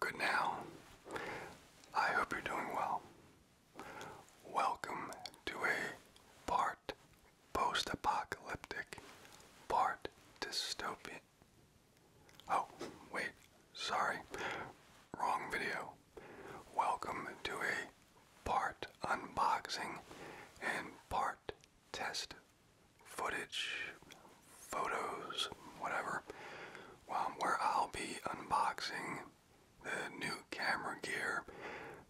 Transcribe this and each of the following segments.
Good now. I hope you're doing well. Welcome to a part post apocalyptic, part dystopian. Oh, wait, sorry. Wrong video. Welcome to a part unboxing and part test footage, photos, whatever, um, where I'll be unboxing the new camera gear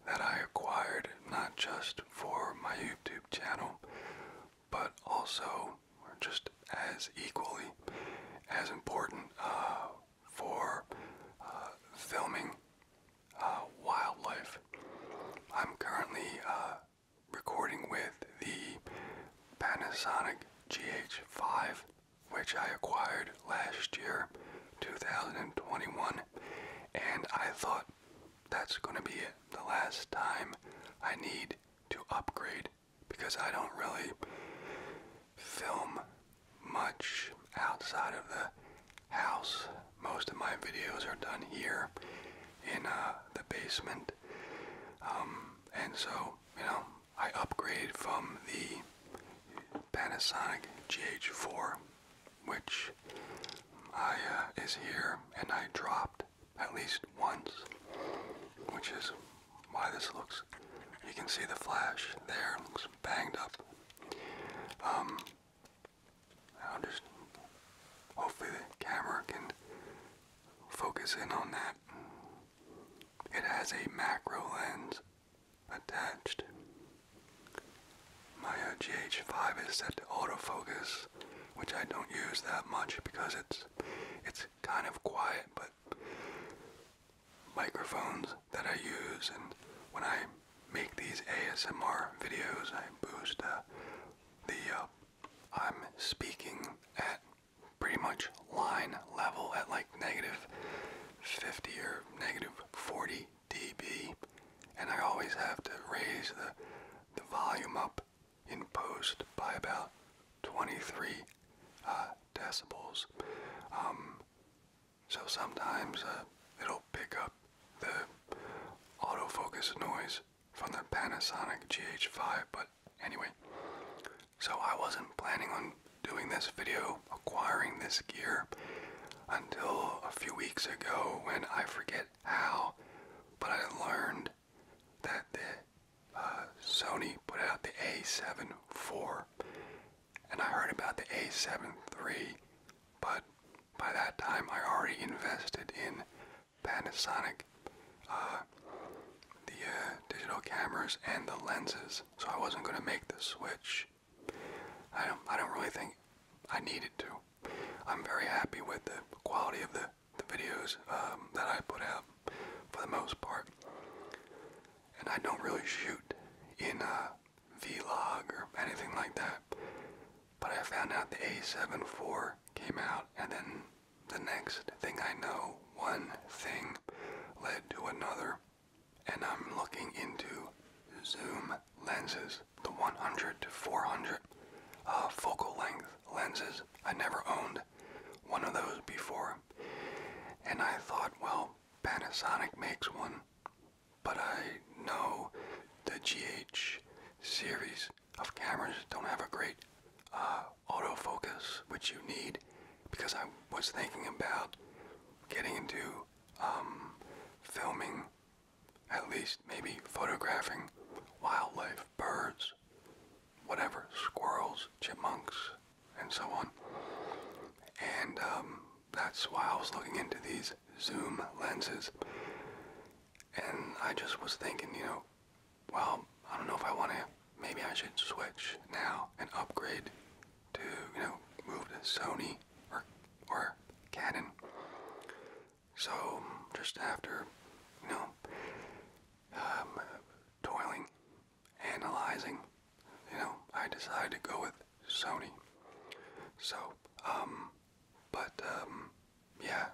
that I acquired not just for my YouTube channel, but also just as equally as important uh, for uh, filming uh, wildlife. I'm currently recording with the Panasonic GH5, which I acquired last year, 2021, and I thought that's going to be The last time I need to upgrade because I don't really film much outside of the house. Most of my videos are done here in uh, the basement um, and so, you know, I upgrade from the Panasonic GH4, which I uh, is here, and I dropped at least once, which is why this looks. You can see the flash there looks banged up. Um, I'll just hopefully the camera can focus in on that it has a macro lens attached. My uh, 5 is set to autofocus, which I don't use that much because it's it's kind of quiet, but microphones that I use and when I make these ASMR videos, I boost uh, the uh, I'm speaking at pretty much line level at like negative 50 or negative 40 dB, and I always have to raise the, the volume up in post by about 23 uh, decibels. Um, so sometimes uh, it'll pick up the autofocus noise from the Panasonic GH5, but anyway. So I wasn't planning on doing this video, acquiring this gear, until a few weeks ago when I forget how, but I learned that the uh, Sony put out the A7 IV, and I heard about the A7 III, but by that time I already invested in Panasonic, uh, the uh, digital cameras and the lenses. So I wasn't going to make the switch. I don't. I don't really think I needed to. I'm very happy with the quality of the the videos um, that I put out for the most part. And I don't really shoot in a vlog or anything like that. But I found out the A7 IV came out, and then the next thing I know, one thing led to another, and I'm looking into zoom lenses, the 100 to 400 uh, focal length lenses. I never owned one of those before, and I thought, well, Panasonic makes one, but I know the GH series of cameras don't have a great uh, autofocus, which you need, because I was thinking about getting into um, filming, at least maybe photographing wildlife, birds, whatever, squirrels, chipmunks, and so on. And um, that's why I was looking into these zoom lenses. And I just was thinking, you know, well, I don't know if I want to. Maybe I should switch now and upgrade to, you know, move to Sony or or Canon. So just after, you know, um, toiling, analyzing, you know, I decided to go with Sony. So, um, but um, yeah,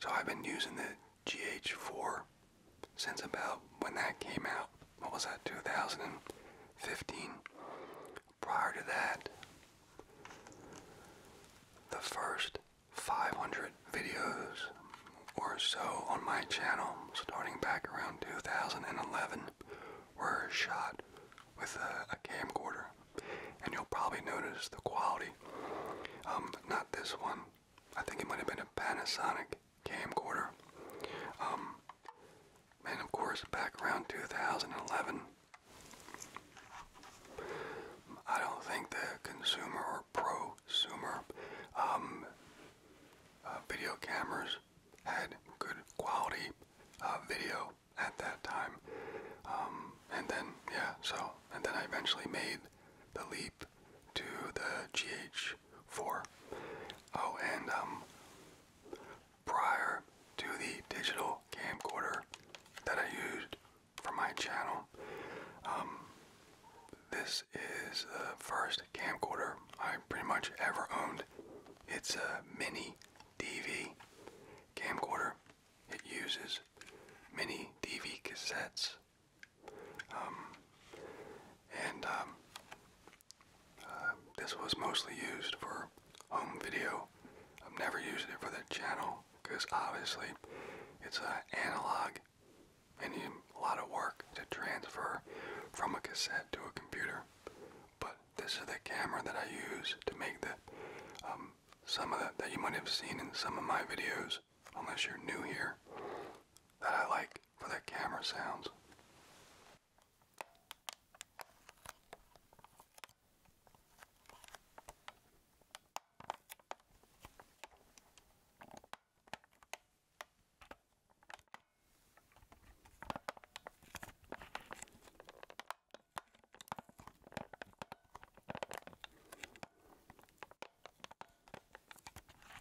so I've been using the GH4 since about when that came out. What was that, 2015? Prior to that, the first 500 videos or so on my channel, starting back around 2011, were shot with a, camcorder. And you'll probably notice the quality. Um, not this one, I think it might have been a Panasonic camcorder. Um, and of course, back around 2011, I don't think the consumer or prosumer um, uh, video cameras had good quality uh, video at that time. Um, and then, yeah, so, and then I eventually made the leap to the GH4. Oh, and um, prior to the digital camcorder that I used for my channel, um, this is the first camcorder I pretty much ever owned. It's a mini DV camcorder. It uses mini DV cassettes um, and um, uh, this was mostly used for home video. i am never using it for the channel because obviously it's an uh, analog and you, a lot of work to transfer from a cassette to a computer. But this is the camera that I use to make the um, some of the, that you might have seen in some of my videos unless you're new here, that I like for their camera sounds.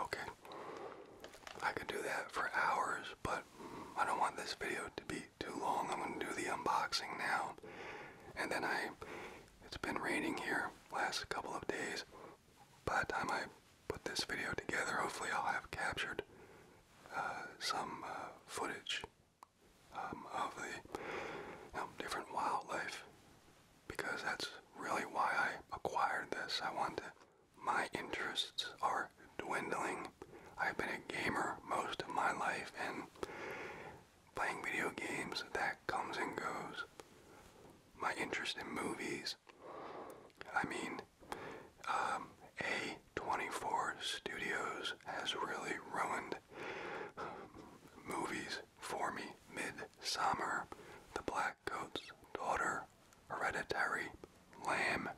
Okay, I could do that for hours, but I don't want this video to be too long. I'm going to do the unboxing now. And then I, it's been raining here last couple of days. By the time I put this video together, hopefully I'll have captured uh, some uh, footage um, of the different wildlife because that's really why I acquired this. I want to, my interests are dwindling I've been a gamer most of my life, and playing video games, that comes and goes. My interest in movies, I mean, um, A24 Studios has really ruined movies for me. Midsummer, The Black Coat's Daughter, Hereditary, Lamb.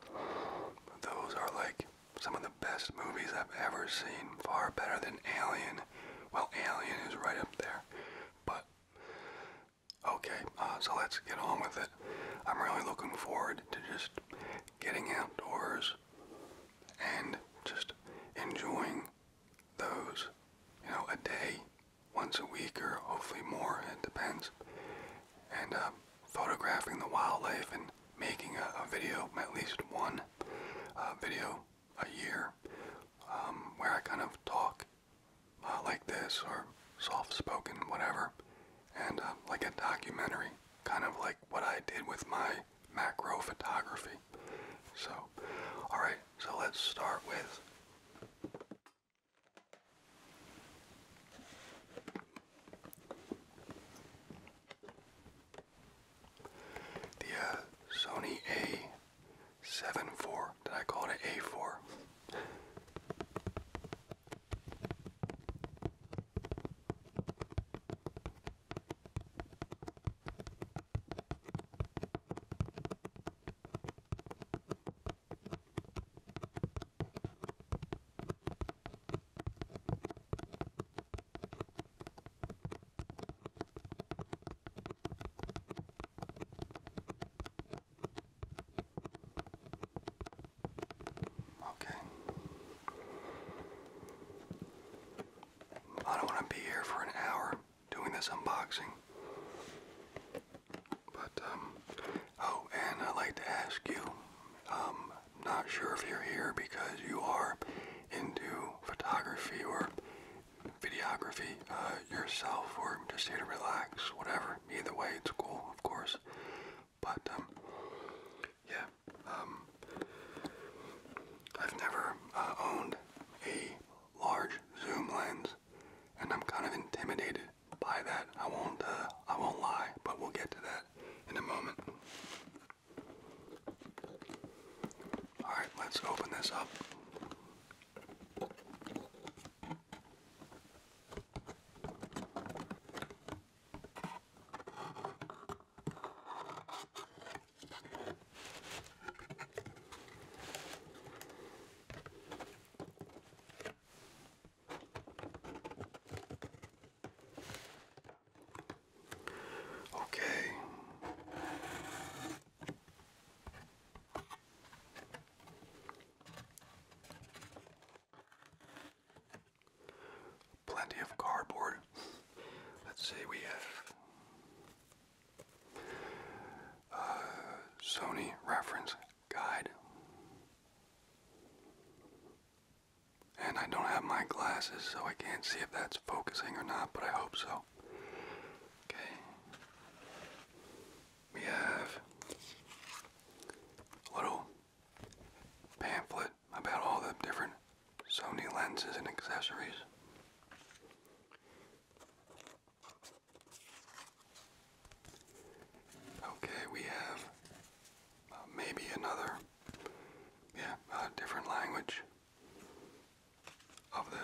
Those are like some of the best movies I've ever seen, far better than Alien. Well, Alien is right up there, but okay, uh, so let's get on with it. I'm really looking forward to just getting outdoors and just enjoying those, you know, a day, once a week, or hopefully more, it depends. And, uh, photographing the wildlife and making a, video, at least one uh, video a year, um, where I kind of talk uh, like this or soft spoken, whatever, and uh, like a documentary, kind of like what I did with my macro photography. So, alright, so let's start with. The uh, Sony a seven four. Did I call it A4? Okay. I don't want to be here for an hour doing this unboxing. But, um, oh, and I'd like to ask you, um, not sure if you're here because you are into photography or videography uh, yourself or just here to relax, whatever. Either way, it's cool, of course. But, um, yeah, um, I've never uh, owned a large zoom lens, and I'm kind of intimidated by that. I won't, uh, I won't lie, but we'll get to that in a moment. Alright, let's open this up. Okay. Plenty of cardboard. Let's see, we have uh, Sony reference guide. And I don't have my glasses, so I can't see if that's focusing or not, but I hope so. Okay. We have a little pamphlet about all the different Sony lenses and accessories. Okay, we have uh, maybe another yeah, different language of the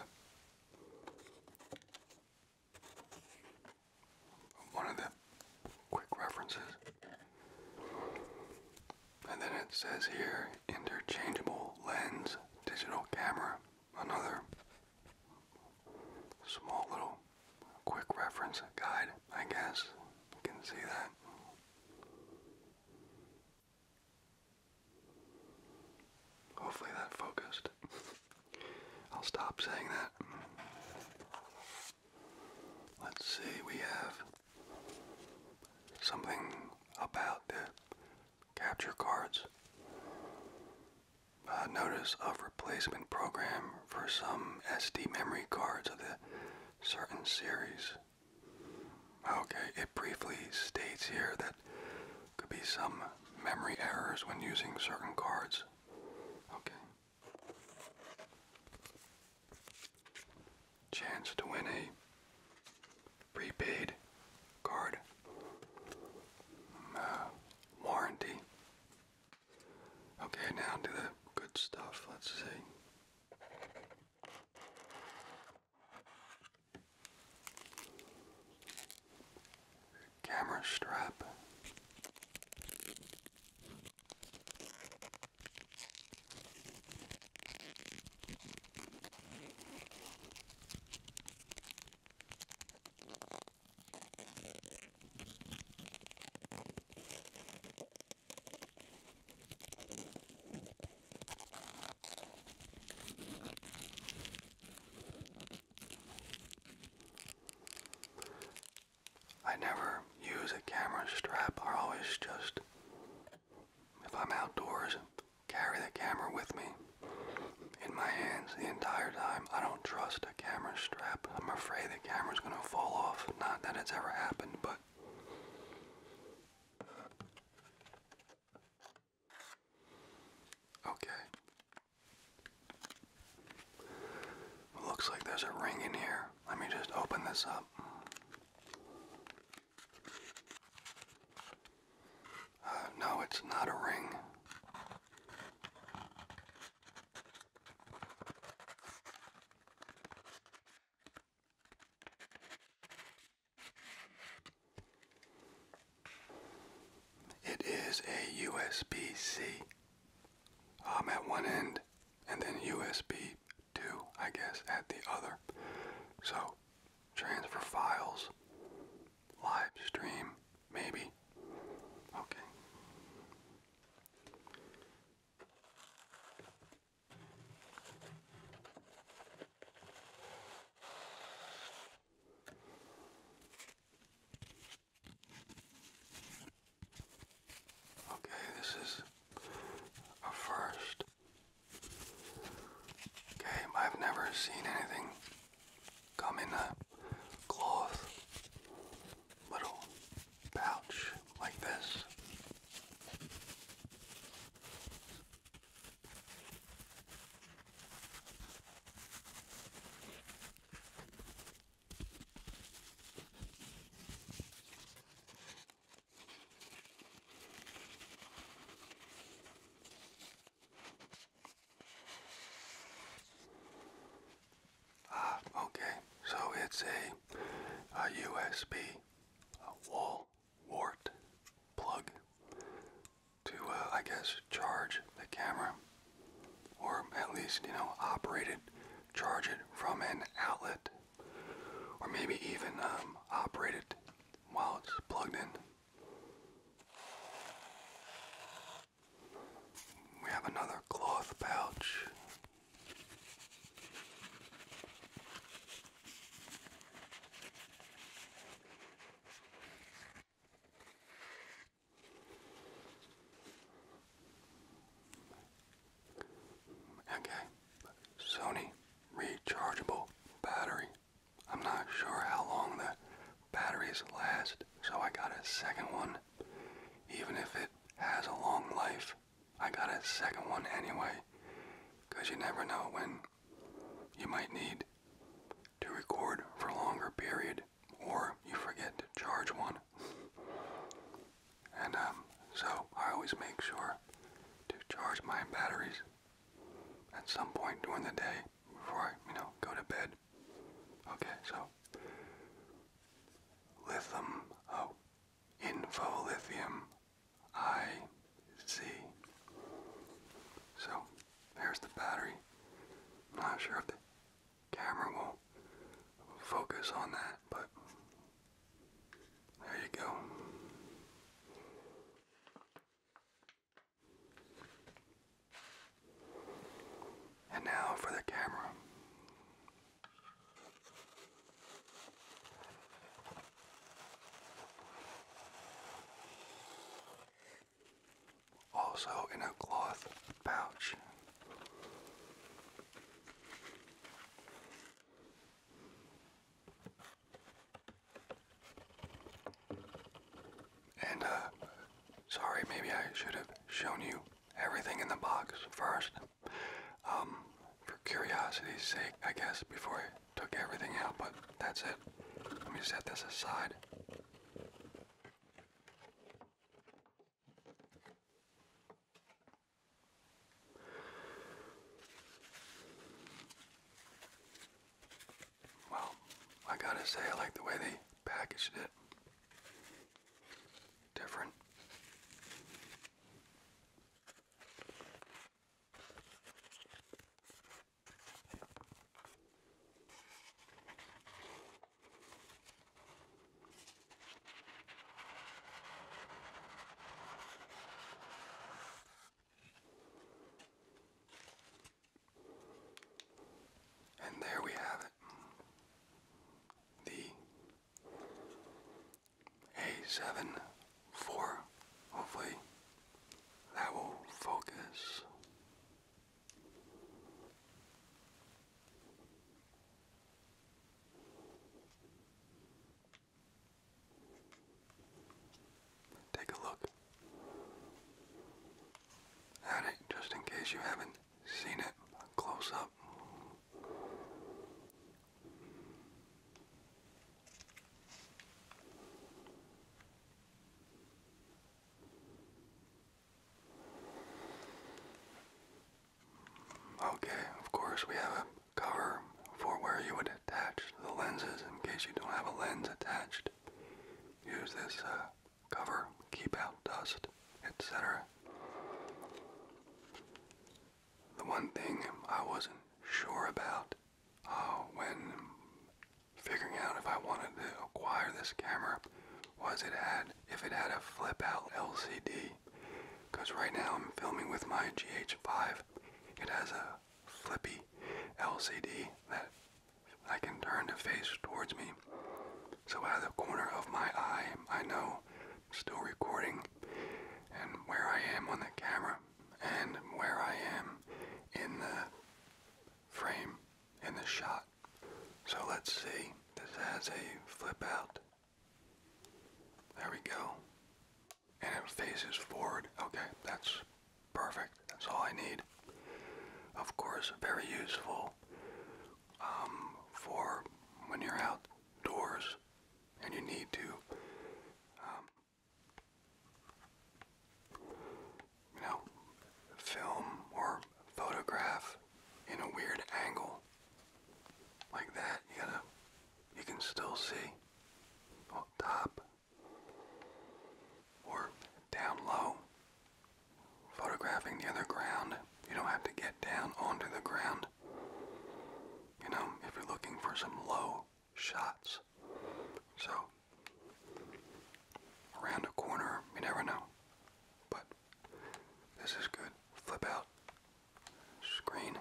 one of the quick references. And then it says here interchangeable lens digital camera. Another small little quick reference guide, I guess. You can see that. Hopefully that focused. I'll stop saying that. Let's see, we have something about the capture cards. Uh, notice of replacement program for some SD memory cards of the certain series. Okay, it briefly states here that could be some memory errors when using certain cards. Okay. Chance to win a prepaid card. Uh, warranty. Okay, now to the good stuff. Let's see. Camera strap. I never use a camera strap. I always just, if I'm outdoors, carry the camera with me in my hands the entire time. I don't trust a camera strap. I'm afraid the camera's going to fall off. Not that it's ever happened, but Okay. Looks like there's a ring in here. Let me just open this up. Uh, no, it's not a ring. It is a usb C. I'm at one end and then USB 2, I guess, at the other. So, transfer files, live stream, maybe. Okay. Okay, this is a first game. I've never seen anything come in a cloth little pouch like this. Uh, okay, so it's a, a USB a wall wart plug to, uh, I guess, charge the camera, or at least, you know, operate it, charge it from an outlet, or maybe even um, operate it while it's plugged in. We have another cloth pouch. Okay, Sony rechargeable battery. I'm not sure how long the batteries last, so I got a second one. Even if it has a long life, I got a second one anyway, because you never know when you might need to record for a longer period or you forget to charge one. And um, so I always make sure to charge my batteries at some point during the day before I, you know, go to bed. Okay, so lithium, oh, info lithium I So there's the battery. not sure if the camera will focus on that, but there you go. And now for the camera. Also in a cloth pouch. And, uh, sorry, maybe I should have shown you everything in the box first. Um, for curiosity's sake, I guess, before I took everything out, but that's it. Let me set this aside. Well, I gotta say, I like the way they packaged it. Different. And there we have it. The a seven four. Hopefully that will focus. Take a look at it just in case you haven't seen it close up. Okay, of course, we have a cover for where you would attach the lenses in case you don't have a lens attached. Use this uh, cover, keep out dust, etc. The one thing I wasn't sure about Oh, when figuring out if I wanted to acquire this camera was it had if it had a flip out LCD because right now I'm filming with my GH5 it has a flippy LCD that I can turn to face towards me so out of the corner of my eye I know still recording and where I am on the camera and where I am in the frame in the shot. So let's see. This has a flip out. There we go. And it faces forward. Okay, that's perfect. That's all I need. Of course, very useful um, for when you're outdoors and you need to um, you know, film or photograph in a weird angle like that. You gotta, you can still see top or down low. Photographing the other ground, you don't have to get down onto the ground. You know, if you're looking for some low shots. So, around the corner, you never know. But this is good. Flip out. Screen.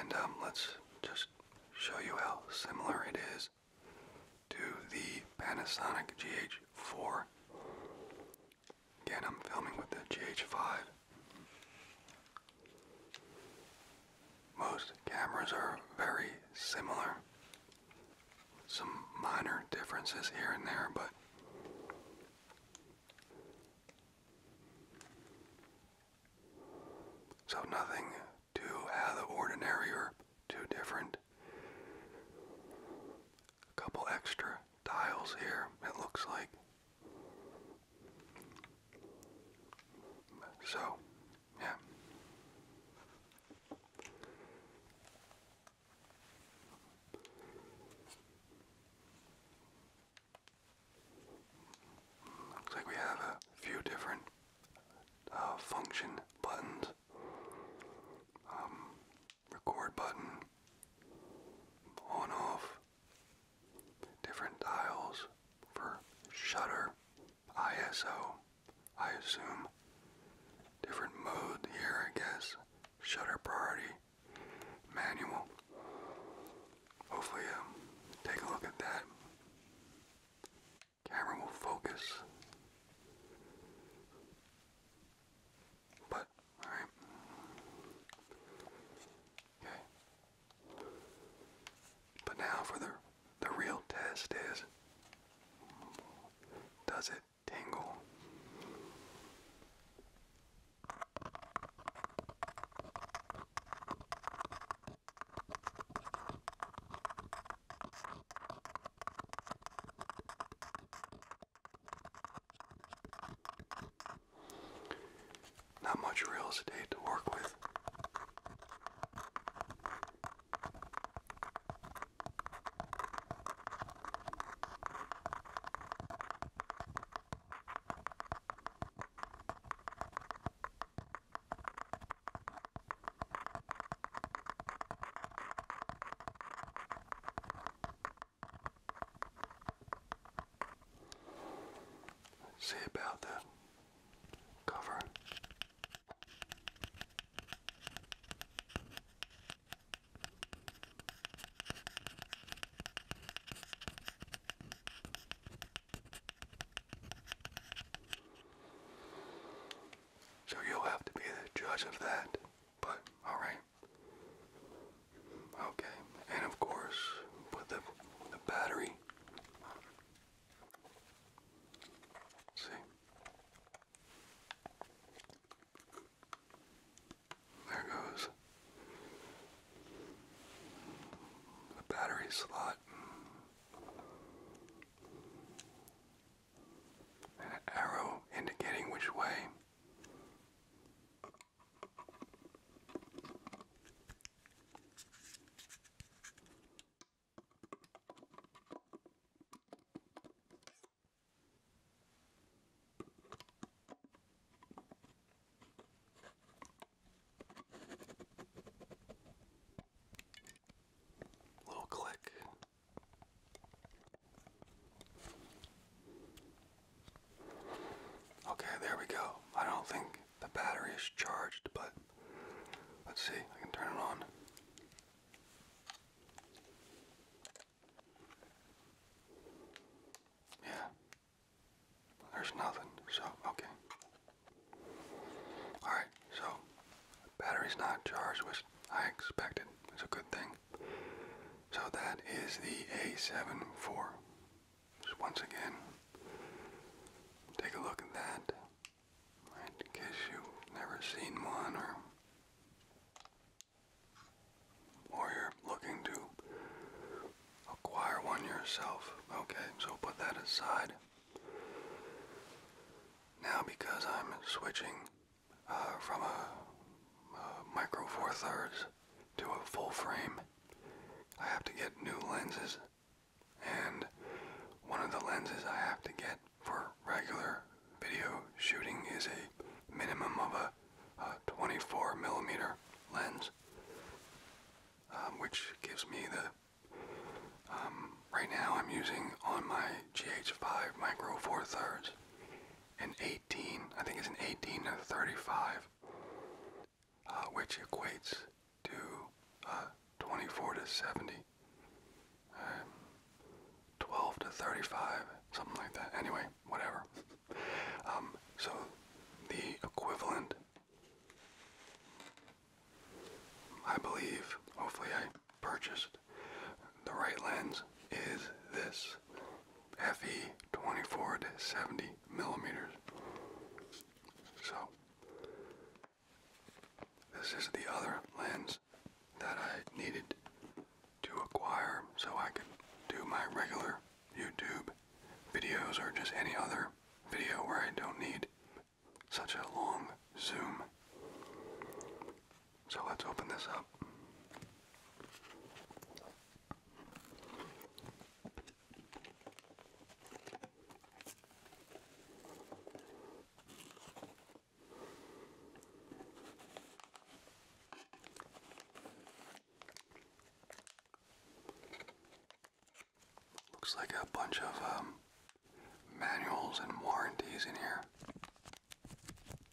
And um, let's just show you how similar it is to the Panasonic GH4. Again, I'm filming with the GH5. Most cameras are very similar. Some minor differences here and there, but so nothing too out of the ordinary or too different a couple extra dials here, it looks like. So, yeah. Looks like we have a few different uh, function buttons. Um, record button, on off, different dials for shutter, ISO, I assume, different mode here, I guess, shutter priority, manual. Hopefully, um, take a look at that. Camera will focus. But, alright. Okay. But now for the the real test is does it tingle? Not much real estate to work with. See about the cover. So you'll have to be the judge of that. But alright. Okay, and of course with the the battery. see. There goes the battery slot. an arrow indicating which way Little click. Okay, there we go. I don't think the battery is charged, but let's see. I can turn it on. Yeah. There's nothing. So, okay. Alright, so battery's not charged, which I expected. It's a good thing. So that is the A74. Just once again, take a look at that. in case you've never seen one or you're looking to acquire one yourself. Okay, so put that aside. Now because I'm switching uh, from a, micro four thirds to a full frame, I have to get new lenses. And one of the lenses I have to get for regular video shooting is a minimum of a, 24 millimeter lens, um, which gives me the. Um, right now I'm using on my GH5 micro four thirds an 18, I think it's an 18 and 35, uh, which equates to uh, 24 to 70, 12 to 35, something like that. Anyway, whatever. Um, so the equivalent, I believe, hopefully I purchased the right lens, is this. FE 24 to 70 millimeters. So, this is the other lens that I needed to acquire so I could do my regular YouTube videos or just any other video where I don't need such a long zoom. So let's open this up. Looks like a bunch of um, manuals and warranties in here.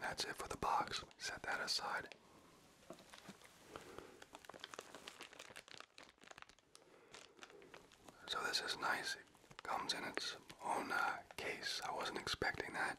That's it for the box. Set that aside. So this is nice. comes in its own uh, case. I wasn't expecting that.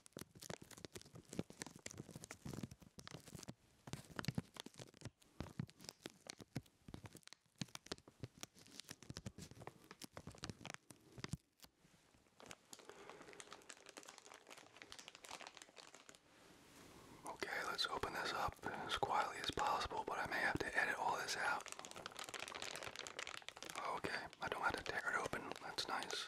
Okay, let's open this up as quietly as possible, but I may have to edit all this out. Okay, I don't have to tear it open. That's nice.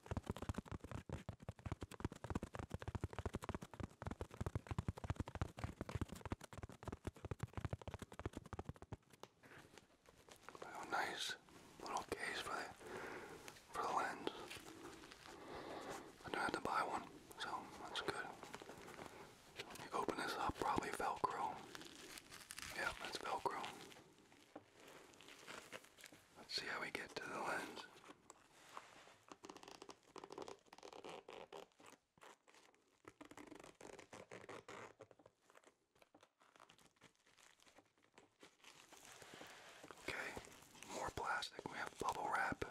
A nice little case for the for the lens. I don't have to buy one, so that's good. So let me open this up, probably Velcro. Yeah, that's Velcro. Let's see how we get to the lens. Okay, more plastic. We have bubble wrap.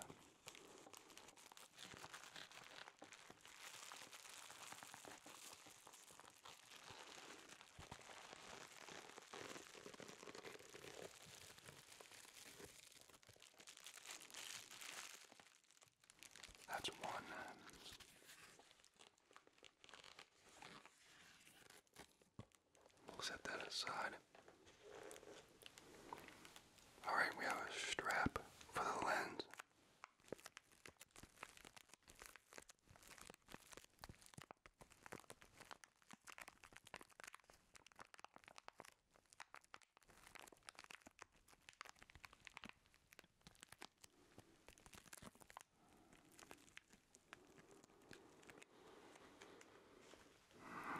That's one. set that aside. Alright, we have a strap for the lens.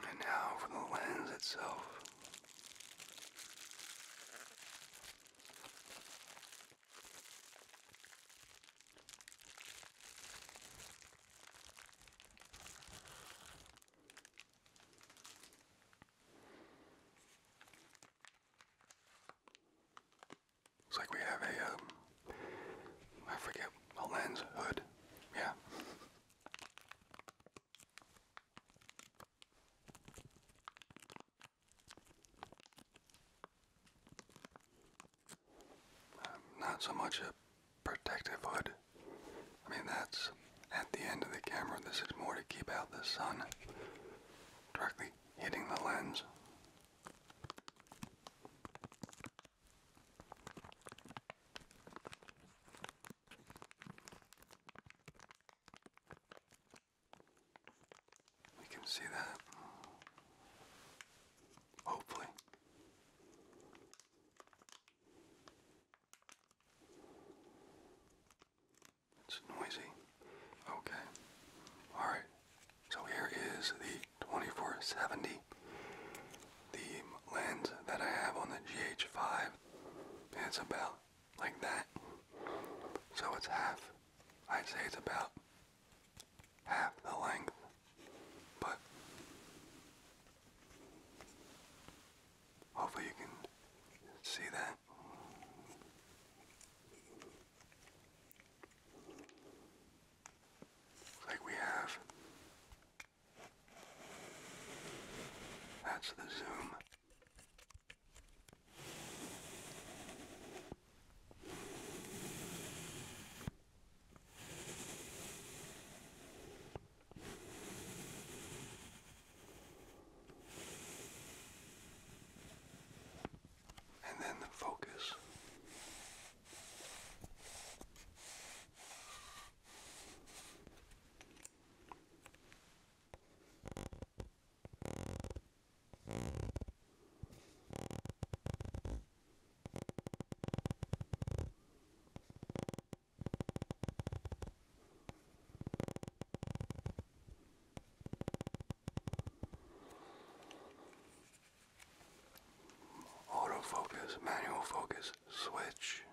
And now for the lens itself. Looks like we have a, um, I forget, a lens hood. Yeah not so much a protective hood. I mean, that's at the end of the camera. This is more to keep out the sun directly hitting the lens. We can see that. Hopefully. It's noisy. Okay. Alright. So here is the 2470. The lens that I have on the GH5. It's about like that. So it's half. I'd say it's about half the length but hopefully you can see that. Like we have. That's the zoom. And then the focus. Autofocus, manual focus, switch,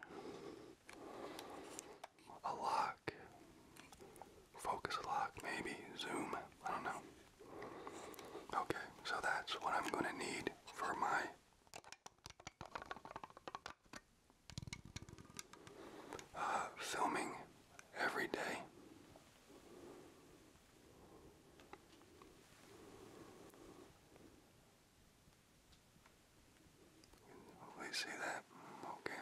a lock, focus lock, maybe, zoom, I don't know. Okay, so that's what I'm going to need for my uh, filming every day. Hopefully see that. Okay.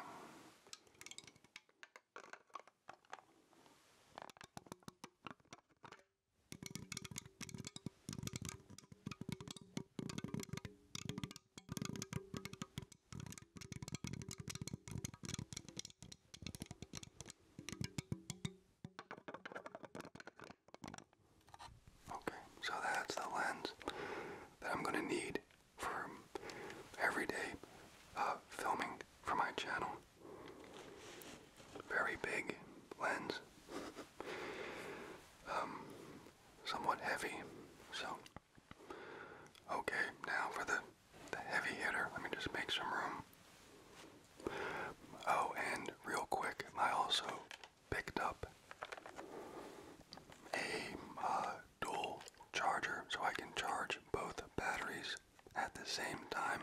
Okay, so that's the lens that I'm going to need for everyday uh, filming for my channel. Very big lens um, somewhat heavy. So, okay, now for the, the heavy hitter, let me just make some room. Oh, and real quick, I also picked up a uh, dual charger so I can charge both batteries at the same time.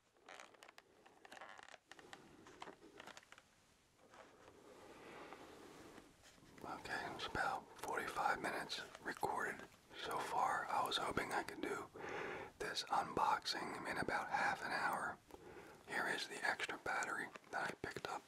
Okay, it's about 45 minutes recorded so far. I was hoping I could do this unboxing in about half an hour. Here is the extra battery that I picked up.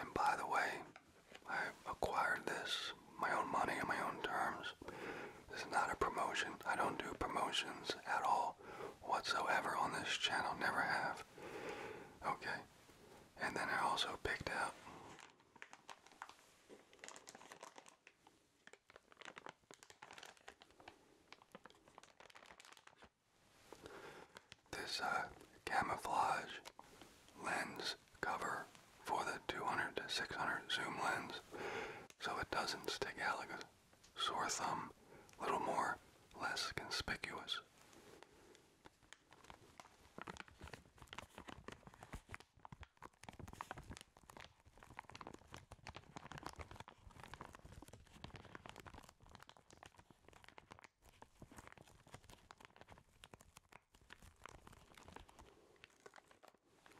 And by the way, I acquired this my own money on my own terms. This is not a promotion. I don't do promotions at all whatsoever on this channel, never have. Okay. And then I also picked out this uh, camouflage lens cover for the 200 to 600 zoom lens so it doesn't stick out like a sore thumb, A little more, less conspicuous.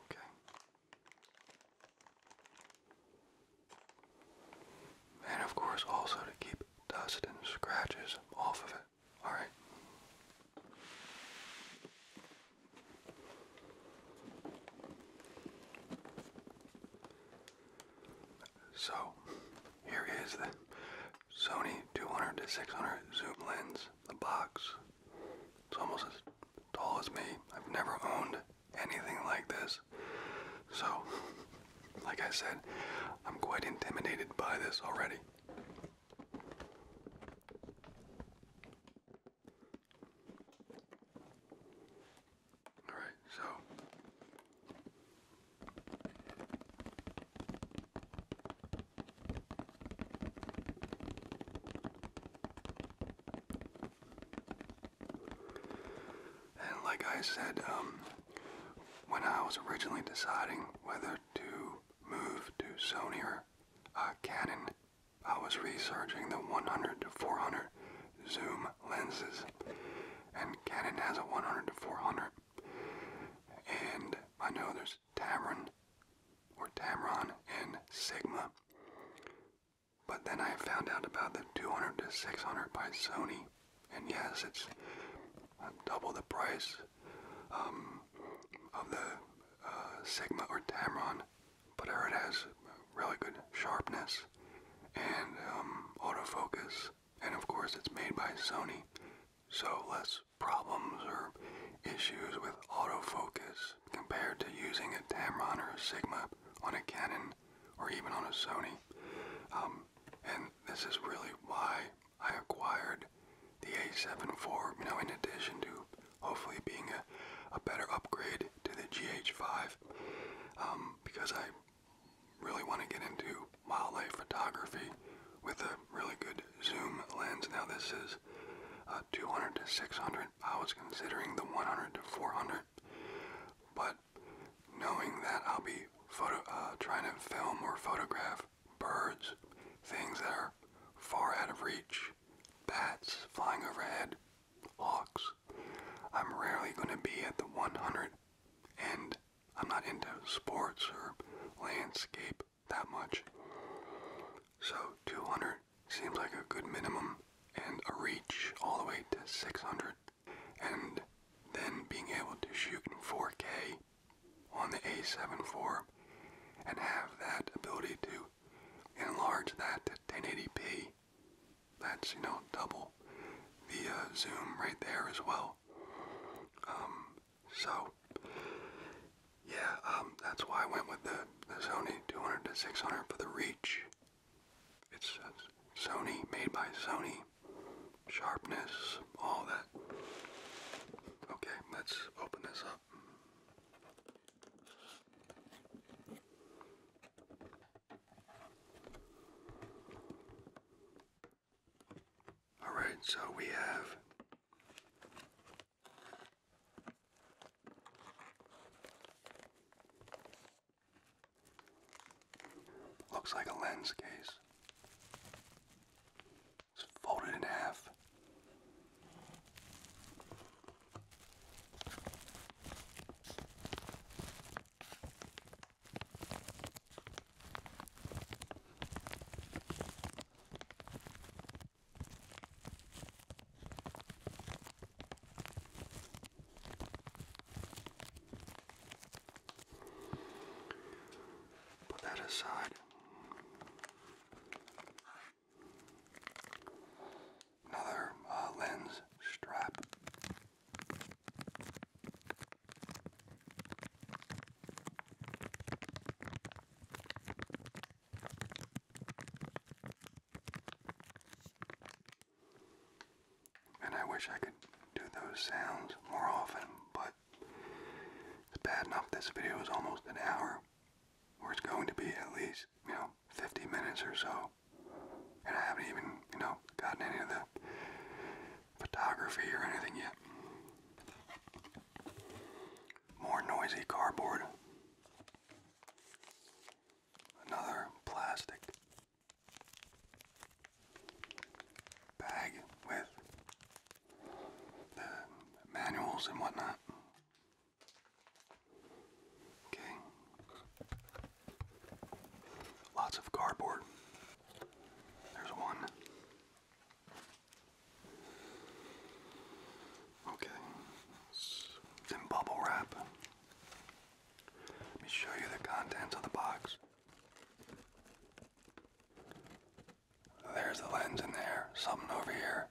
Okay. And of course, also to keep dust and scratches off of it. Alright? So, here is the Sony 200 to 600 zoom lens, the box. It's almost as tall as me. I've never owned anything like this. So, like I said, I'm quite intimidated by this already. Alright, so. And like I said, um, when I was originally deciding whether to move to Sony or uh, Canon, I was researching the 100 to 400 zoom lenses, and Canon has a 100 to 400. And I know there's Tamron or Tamron and Sigma. But then I found out about the 200 to 600 by Sony, and yes, it's uh, double the price um, of the uh, Sigma or Tamron, but it has really good sharpness and um, autofocus, and of course it's made by Sony, so less problems or issues with autofocus compared to using a Tamron or a Sigma on a Canon or even on a Sony. Um, and this is really why I acquired the A7 IV, you know, in addition to hopefully being a, better upgrade to the GH5, um, because I really want to get into wildlife photography with a really good zoom lens. Now this is a uh, 200 to 600. I was considering the 100 to 400, but knowing that I'll be uh, trying to film or photograph birds, things that are far out of reach, bats flying overhead, hawks. I'm rarely going to be at the 100, and I'm not into sports or landscape that much. So 200 seems like a good minimum and a reach all the way to 600 and then being able to shoot 4K on the A7 four, and have that ability to enlarge that to 1080p. That's, you know, double the zoom right there as well. Um, so, yeah, um, that's why I went with the, the Sony 200 to 600 for the reach it's Sony, made by Sony. Sharpness, all that. Okay, let's open this up. Alright, so we have Looks like a lens case. It's folded in half. Put that aside. Another uh, lens strap. And I wish I could do those sounds more often, but it's bad enough this video is almost an hour, or it's going to be at least, you know, 50 minutes or so. And I haven't even, you know, gotten any of the photography or anything yet. More noisy cardboard. Another plastic bag with the manuals and whatnot. Okay. Lots of cardboard. There's one. Okay. Then bubble wrap. Let me show you the contents of the box. There's the lens in there, something over here,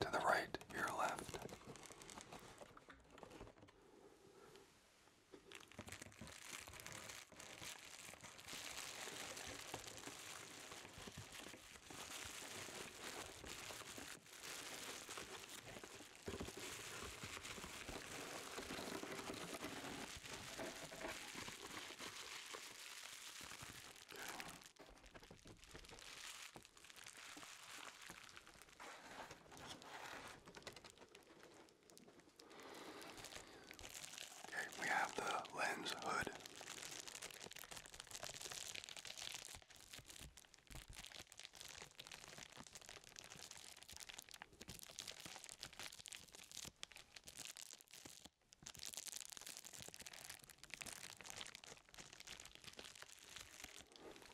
to the right, your left. Okay, we have the lens hood.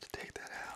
To take that out.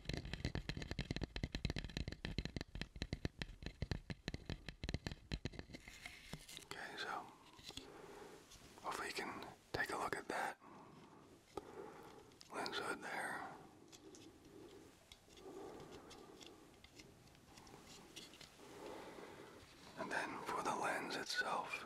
Okay, so hopefully you can take a look at that lens hood there. And then for the lens itself,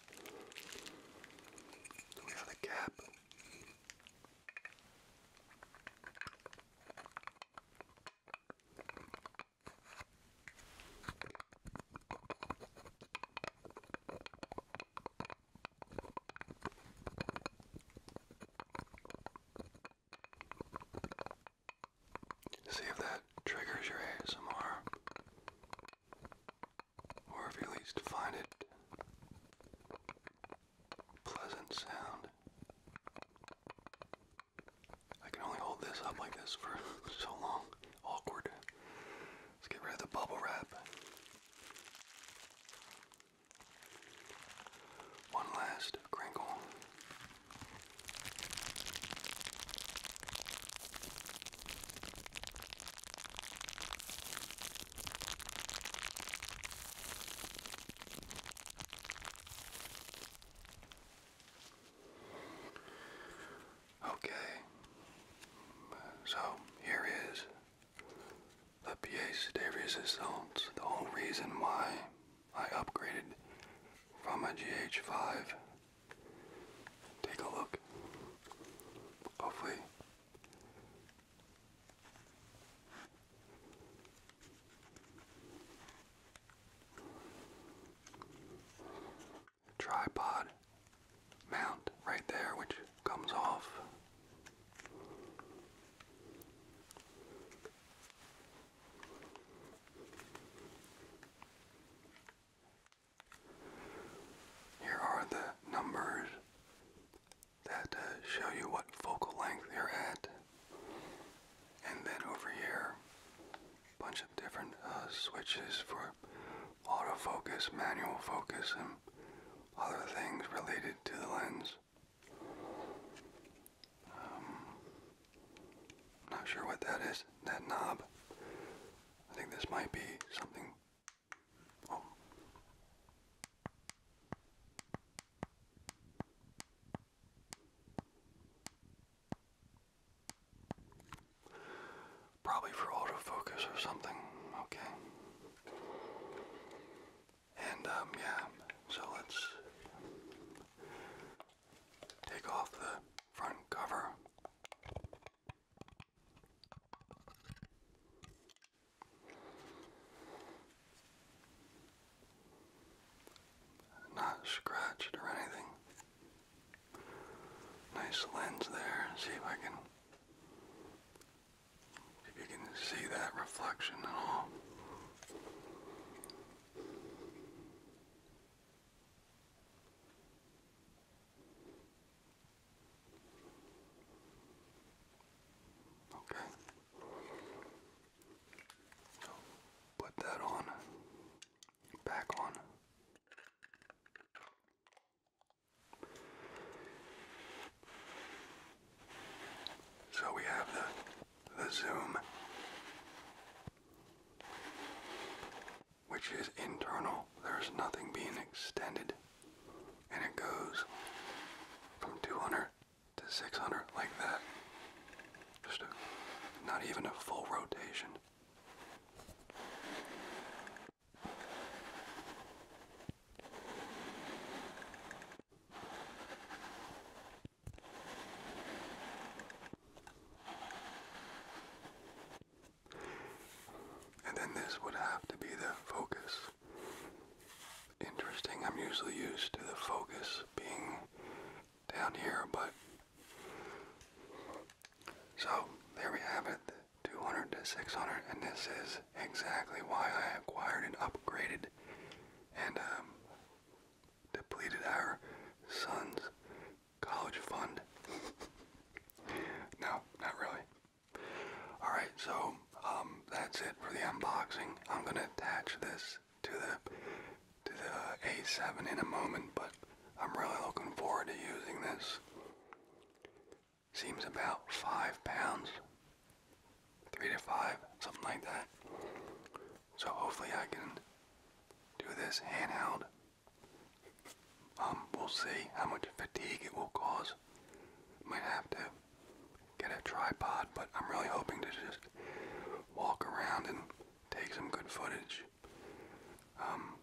We have a cap. See if that triggers your ASMR or if you least find it pleasant sound. I can only hold this up like this for so long. Awkward. Let's get rid of the bubble wrap. One last crinkle. Okay, so here is the pièce de résistance, the whole reason why I upgraded from a GH5 Take a look. Hopefully, tripod mount right there, which comes off. Here are the numbers that uh, show you what focal length you're at. And then over here, a bunch of different uh, switches for autofocus, manual focus, and other things related to the lens. Um, not sure what that is, that knob. I think this might be something Probably for autofocus or something, okay. And um, yeah, so let's take off the front cover not scratched or anything. Nice lens there. See if I can if you can see that reflection at all. Okay. So put that on. Back on. So we have the the zoom which is internal. There's nothing being extended. And it goes from 200 to 600 like that. Just a, not even a full rotation. And then this would have to be the focus. Interesting, I'm usually used to the focus being down here, but. So, there we have it 200 to 600, and this is exactly why I acquired and upgraded and um, depleted our son's college fund. no, not really. Alright, so um, that's it for the unboxing. I'm going to attach this to the to the A7 in a moment, but I'm really looking forward to using this. Seems about five pounds, three to five, something like that. So hopefully I can do this handheld um, we'll see how much fatigue it will cause. Might have to get a tripod, but I'm really hoping to just walk around and take some good footage. Um,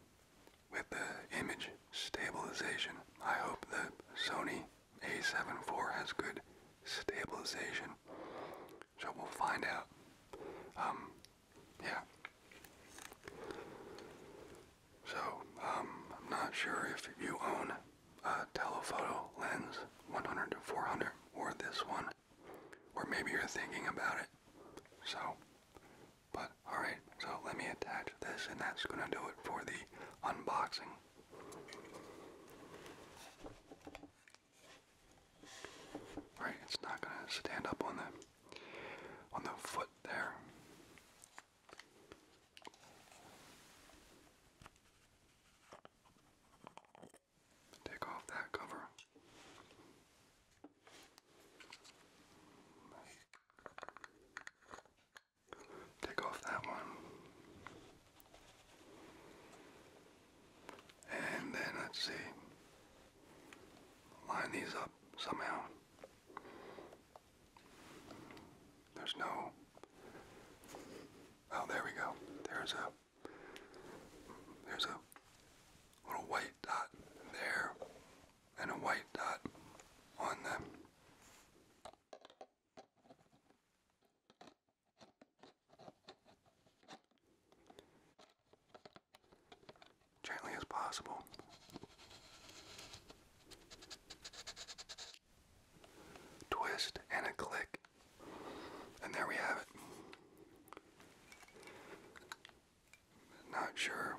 with the image stabilization, I hope the Sony a7 IV has good stabilization. So we'll find out. Um, yeah. So, um, I'm not sure if you own a telephoto lens 100 to 400 or this one, or maybe you're thinking about it. So, but alright, so let me attach this, and that's gonna do it for the unboxing. All right, it's not gonna stand up on the on the foot there. Take off that cover. Take off that one. And then let's see. Line these up somehow. There's no. Oh, there we go. There's a. There's a little white dot there, and a white dot on them. Gently as possible. Twist and a click. And there we have it. Not sure.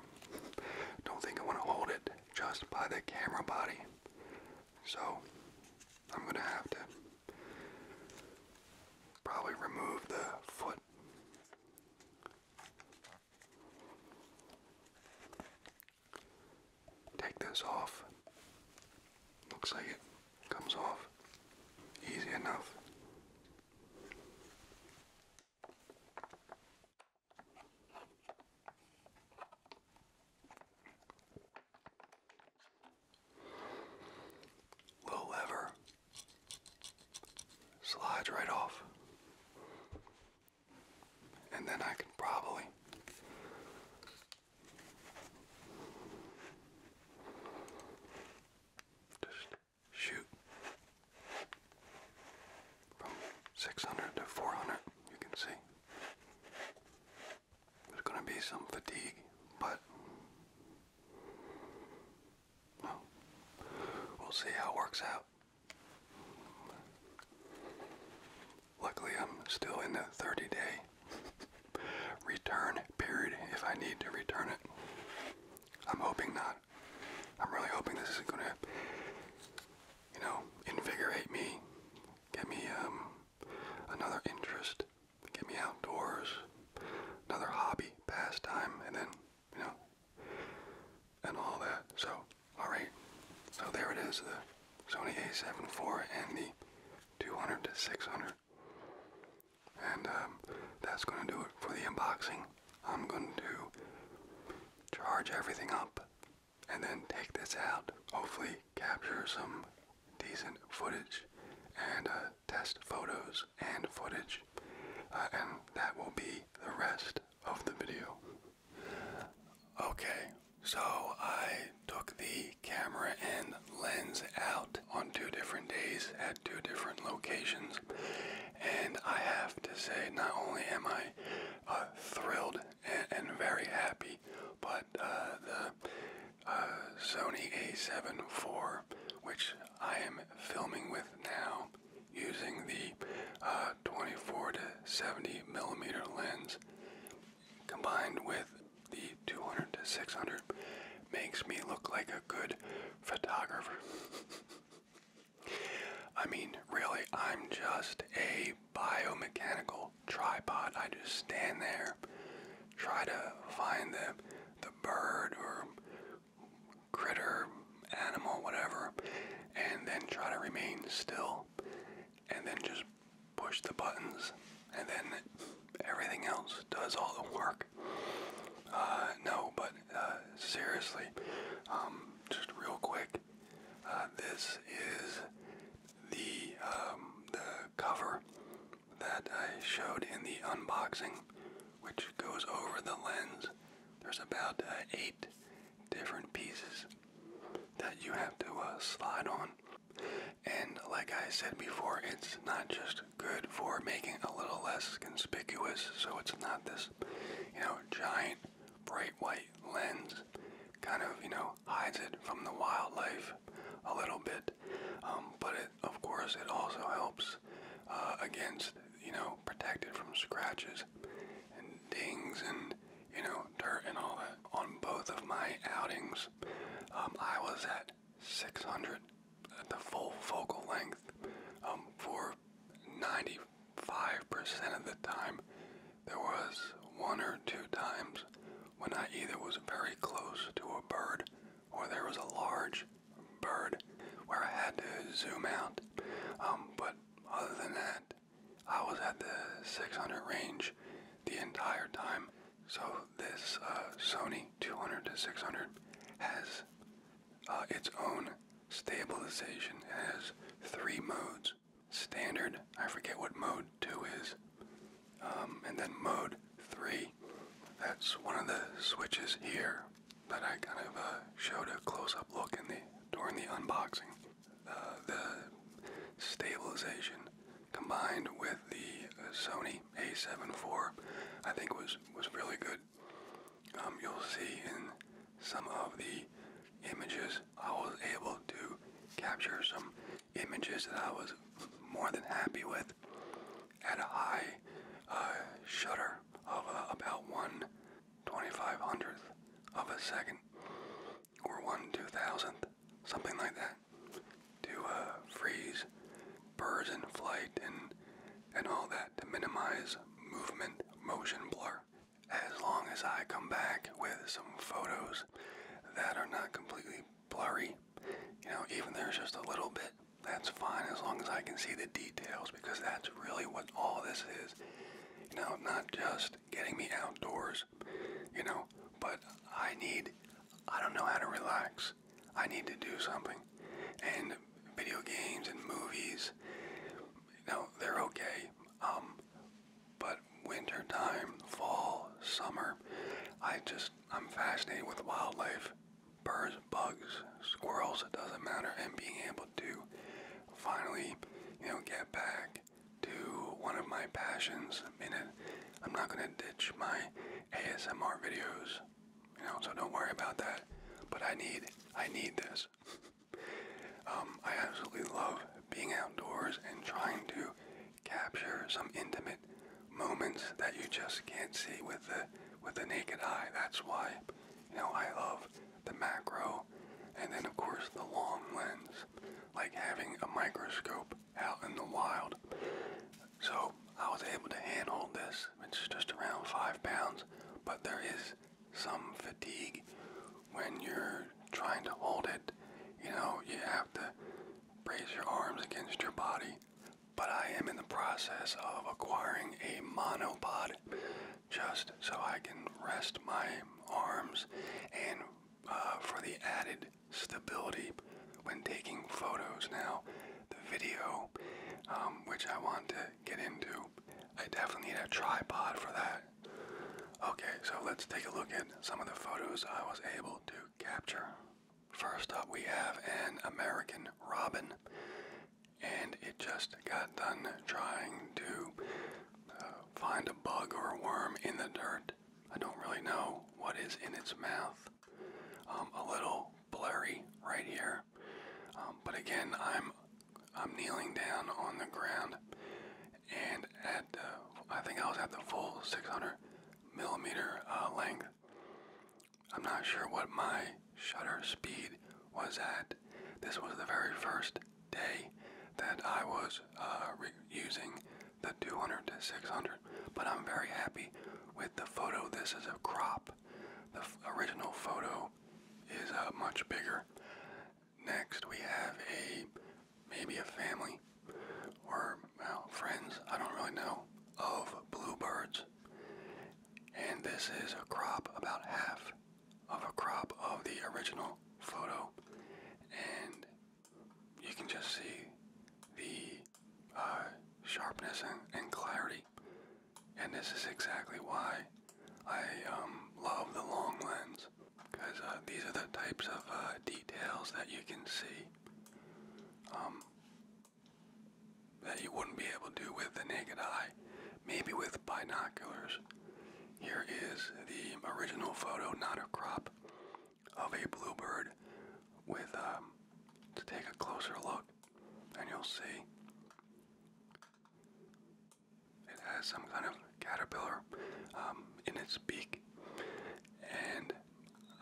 Don't think I want to hold it just by the camera body. So I'm going to have to probably remove the foot Take this off. Looks like it comes off easy enough. Little lever slides right off. And then I can probably just shoot from 600 to 400, you can see. There's going to be some fatigue, but we'll see how it works out. Luckily, I'm still in the 30 day return period if I need to return it. I'm hoping not. I'm really hoping this is going to, you know, invigorate me, get me um, another interest, get me outdoors, another hobby, pastime, and then, you know, and all that. So, alright. So there it is, the Sony a7 IV and the 200 to 600. And um, that's going to do it for the unboxing. I'm going to charge everything up and then take this out. Hopefully capture some decent footage and uh, test photos and footage. Uh, and that will be the rest of the video. Okay, so I took the camera and lens out on two different days at two different locations, and I have to say, not only am I uh, thrilled and, very happy, but uh, the uh, Sony A7 IV, which I am filming with now, using the uh, 24 to 70 millimeter lens combined with the 200 to 600 makes me look like a good photographer. I mean, really, I'm just a biomechanical tripod. I just stand there, try to find the the bird or critter, animal, whatever, and then try to remain still and then just push the buttons, and then everything else does all the work. Uh, no, but uh, seriously, um, just real quick, uh, this is the um, the cover that I showed in the unboxing, which goes over the lens. There's about eight different pieces that you have to uh, slide on. And like I said before, it's not just good for making a little less conspicuous, so it's not this, you know, giant bright white lens. Kind of, you know, hides it from the wildlife a little bit. Um, but it, of course, it also helps uh, against, you know, protect it from scratches and dings and you know, dirt and all that. On both of my outings, um, I was at 600 at the full focal length um, for 95% of the time. There was one or two times when I either was very close to a bird or there was a large bird where I had to zoom out. Um, but other than that, I was at the 600 range the entire time. So this uh, Sony 200 to 600 has uh, its own stabilization. It has three modes. Standard, I forget what mode 2 is. Um, and then mode 3. That's one of the switches here that I kind of uh, showed a close-up look in the during the unboxing. Uh, the stabilization combined with the uh, Sony A7 IV, I think was was really good. Um, you'll see in some of the images I was able to capture some images that I was more than happy with at a high uh, shutter of about one of a second or one two thousandth, something like that, to uh, freeze birds in flight and and all that to minimize movement motion blur. As long as I come back with some photos that are not completely blurry, you know, even there's just a little bit, that's fine as long as I can see the details because that's really what all this is. You know, not just getting me outdoors, you know, but I need, I don't know how to relax. I need to do something. And video games and movies, you know, they're okay. Um, but wintertime, fall, summer, I just, I'm fascinated with wildlife. Birds, bugs, squirrels, it doesn't matter. And being able to finally, you know, get back to one of my passions. I mean, I'm not going to ditch my ASMR videos, you know, so don't worry about that. But I need, I need this. Um, I absolutely love being outdoors and trying to capture some intimate moments that you just can't see with the with the naked eye. That's why, you know, I love the macro, and then of course the long lens like having a microscope out in the wild. So I was able to handhold this, which is just around five pounds, but there is some fatigue when you're trying to hold it. You know, you have to brace your arms against your body. But I am in the process of acquiring a monopod just so I can rest my arms and uh, for the added stability when taking photos now. The video, um, which I want to get into, I definitely need a tripod for that. Okay, so let's take a look at some of the photos I was able to capture. First up, we have an American robin, and it just got done trying to find a bug or a worm in the dirt. I don't really know what is in its mouth. Um, a little blurry right here, um, but again, I'm I'm kneeling down on the ground, and at uh, I think I was at the full 600 millimeter uh, length. I'm not sure what my shutter speed was at. This was the very first day that I was uh, using the 200 to 600, but I'm very happy with the photo. This is a crop. The original photo is uh, much bigger. Next, we have a maybe a family or friends. I don't really know of bluebirds, and this is a crop about half of a crop of the original photo, and you can just see the uh, sharpness and, clarity. And this is exactly why I um, love the long lens, because uh, these are the types of uh, details that you can see um, that you wouldn't be able to do with the naked eye. Maybe with binoculars, here is the original photo, not a crop, of a bluebird with, um, to take a closer look, and you'll see it has some kind of caterpillar um, in its beak. And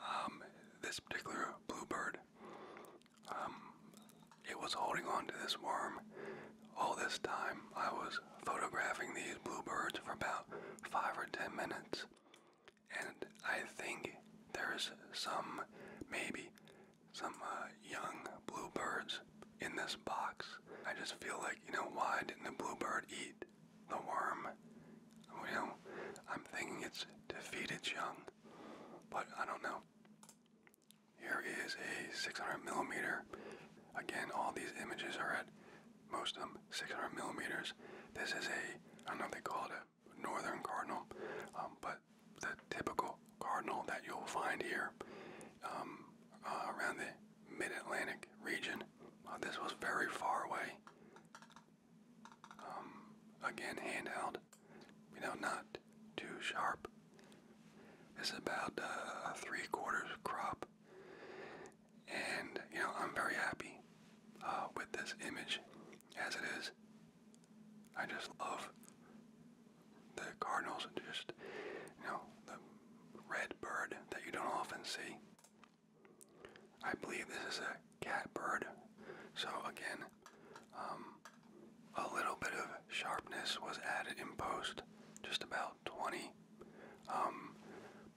um, this particular bluebird, it was holding on to this worm all this time, I was photographing these bluebirds for about five or ten minutes, and I think there's some, maybe, some uh, young bluebirds in this box. I just feel like, you know, why didn't the bluebird eat the worm? Well, I'm thinking it's to feed its young, but I don't know. Here is a 600 millimeter. Again, all these images are at most of them 600 millimeters. This is a, I don't know if they call it a northern cardinal, um, but the typical cardinal that you'll find here um, uh, around the mid-Atlantic region. Uh, this was very far away. Um, again, handheld, you know, not too sharp. It's about uh, three quarters crop. And, you know, I'm very happy uh, with this image as it is. I just love the cardinals, just, you know, the red bird that you don't often see. I believe this is a catbird. So, again, um, a little bit of sharpness was added in post, just about 20 um,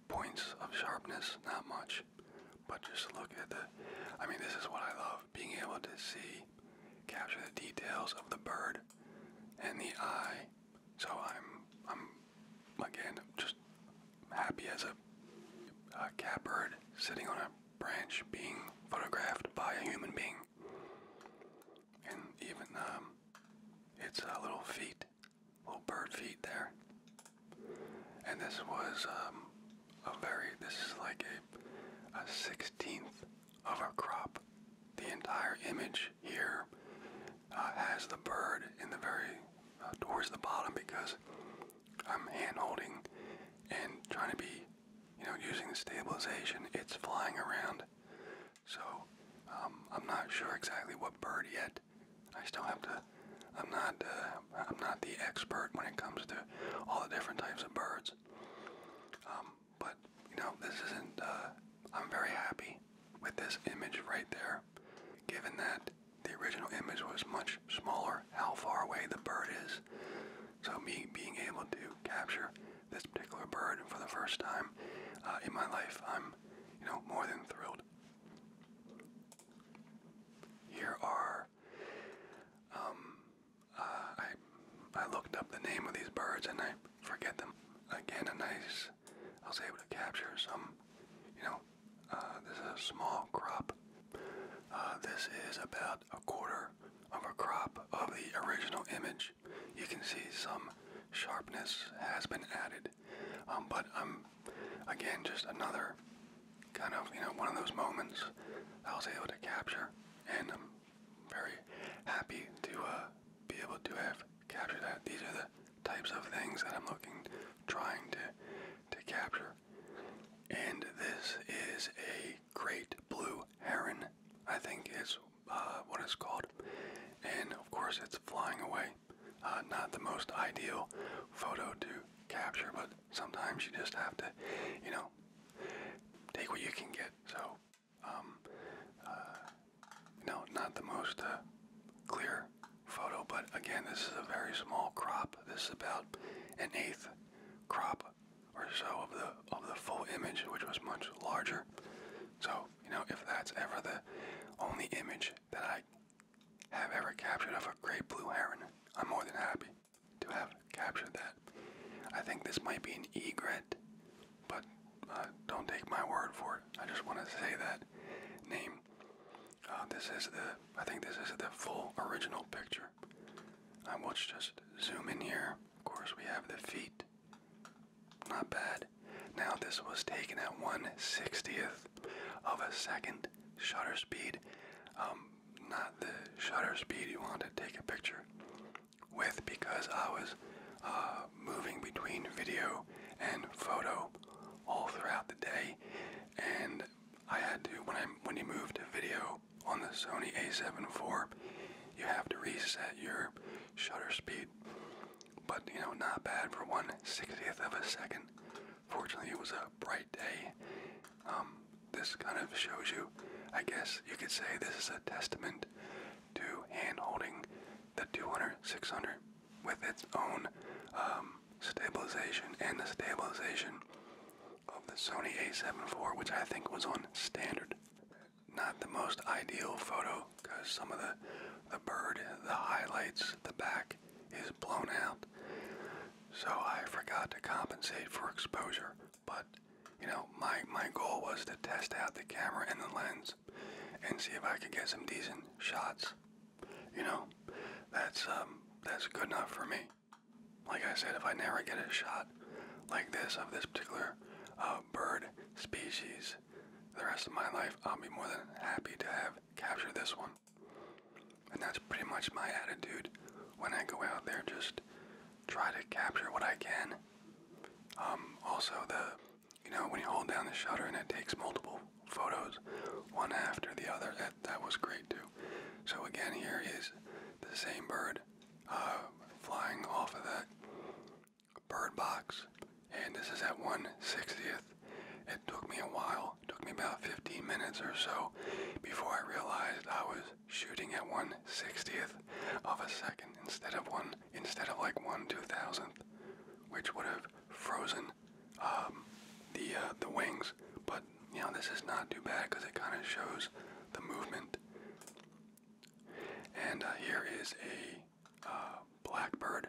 points of sharpness, not much, but just look at the. I mean, this is what I love: being able to see, capture the details of the bird and the eye. So I'm, I'm, again, just happy as a, a catbird sitting on a branch being photographed by a human being. And even um, its a little feet little bird feet there. And this was um, a very, this is like a, a sixteenth of a crop. The entire image here uh, has the bird in the very, uh, towards the bottom because I'm hand holding and trying to be, you know, using the stabilization. It's flying around so um, I'm not sure exactly what bird yet. I still have to. I'm not. Uh, I'm not the expert when it comes to all the different types of birds. Um, but you know, this isn't. Uh, I'm very happy with this image right there, given that the original image was much smaller. How far away the bird is. So me being able to capture this particular bird for the first time uh, in my life, I'm am, you know, more than thrilled. Here are, um, uh, I, I looked up the name of these birds and I forget them. Again, a nice, I was able to capture some, you know, uh, this is a small crop. Uh, this is about a quarter of a crop of the original image. You can see some sharpness has been added um, but again just another kind of you know one of those moments I was able to capture, and I'm very happy to uh, be able to have captured that. These are the types of things that I'm looking, trying to to capture. And this is a great blue heron, I think is uh, what it's called. And of course, it's flying away. Uh, not the most ideal photo to capture, but sometimes you just have to, you know, take what you can get. So, um, uh, you know, not the most uh, clear photo, but again, this is a very small crop. This is about an eighth crop or so of the of the full image, which was much larger. So you know, if that's ever the only image that I have ever captured of a great blue heron, I'm more than happy to have captured that. I think this might be an egret, but uh, don't take my word for it. I just want to say that name. Uh, this is the, I think this is the full original picture. I will just zoom in here. Of course, we have the feet. Not bad. Now this was taken at 1/60th of a second shutter speed. Um, not the shutter speed you want to take a picture with because I was uh, moving between video and photo all throughout the day and I had to when I when you move to video on the Sony A7 IV you have to reset your shutter speed but, you know, not bad for 1 60th of a second. Fortunately, it was a bright day. Um, this kind of shows you, I guess you could say this is a testament to hand holding the 200 600 with its own um, stabilization and the stabilization of the Sony a7 IV, which I think was on standard. Not the most ideal photo because some of the the bird, the highlights, the back is blown out. So I forgot to compensate for exposure, but you know, my my goal was to test out the camera and the lens and see if I could get some decent shots. You know, that's um, that's good enough for me. Like I said, if I never get a shot like this of this particular uh, bird species, the rest of my life, I'll be more than happy to have captured this one. And that's pretty much my attitude when I go out there, just try to capture what I can. Um, also, the you know, when you hold down the shutter and it takes multiple photos, one after the other, that, that was great too. So again, here is the same bird uh, flying off of that Bird Box, and this is at 160th. It took me a while, it took me about 15 minutes or so before I realized I was shooting at 160th of a second instead of one instead of like 1 2000th, which would have frozen um, the uh, the wings. But you know this is not too bad because it kind of shows the movement. And uh, here is a uh, blackbird,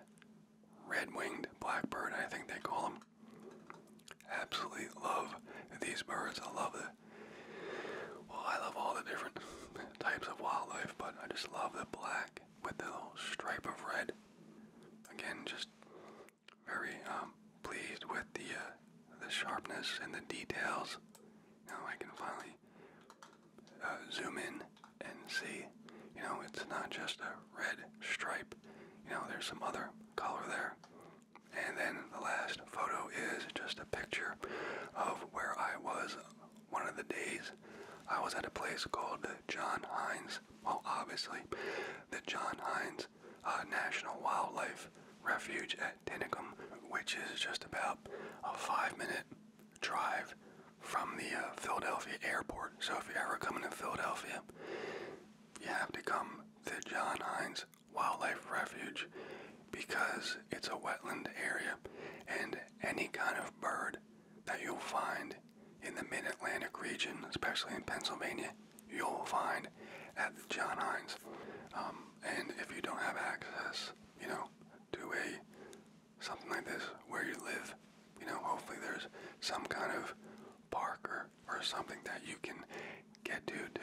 red winged blackbird, I think they call them. Absolutely love these birds. I love the, well, I love all the different types of wildlife, but I just love the black with the little stripe of red. Again, just very um, pleased with the uh, the sharpness and the details. Now I can finally uh, zoom in and see, you know, it's not just a red stripe. You know, there's some other color there. And then the last photo is just a picture of where I was one of the days. I was at a place called John Hines. Well, obviously, the John Hines uh, National Wildlife Refuge at Tinicum, which is just about a five minute drive from the uh, Philadelphia airport. So if you're ever coming to Philadelphia, you have to come to John Hines Wildlife Refuge because it's a wetland area and any kind of bird that you'll find in the mid-Atlantic region, especially in Pennsylvania, you'll find at John Hines. Um, and if you don't have access, you know, to a something like this where you live. You know, hopefully there's some kind of park or, or something that you can get to to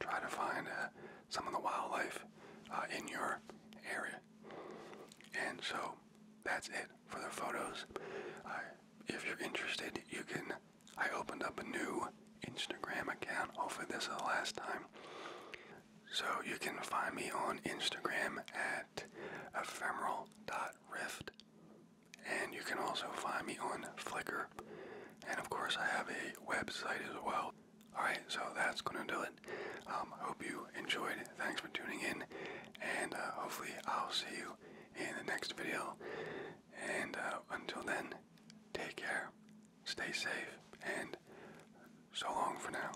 try to find uh, some of the wildlife uh, in your area. And so that's it for the photos. if you're interested, you can. I opened up a new Instagram account. Hopefully, this is the last time. So you can find me on Instagram at ephemeral gmail.rift. And you can also find me on Flickr. And of course, I have a website as well. Alright, so that's going to do it. I um, hope you enjoyed. Thanks for tuning in. And uh, hopefully, I'll see you in the next video. And uh, until then, take care, stay safe, and so long for now.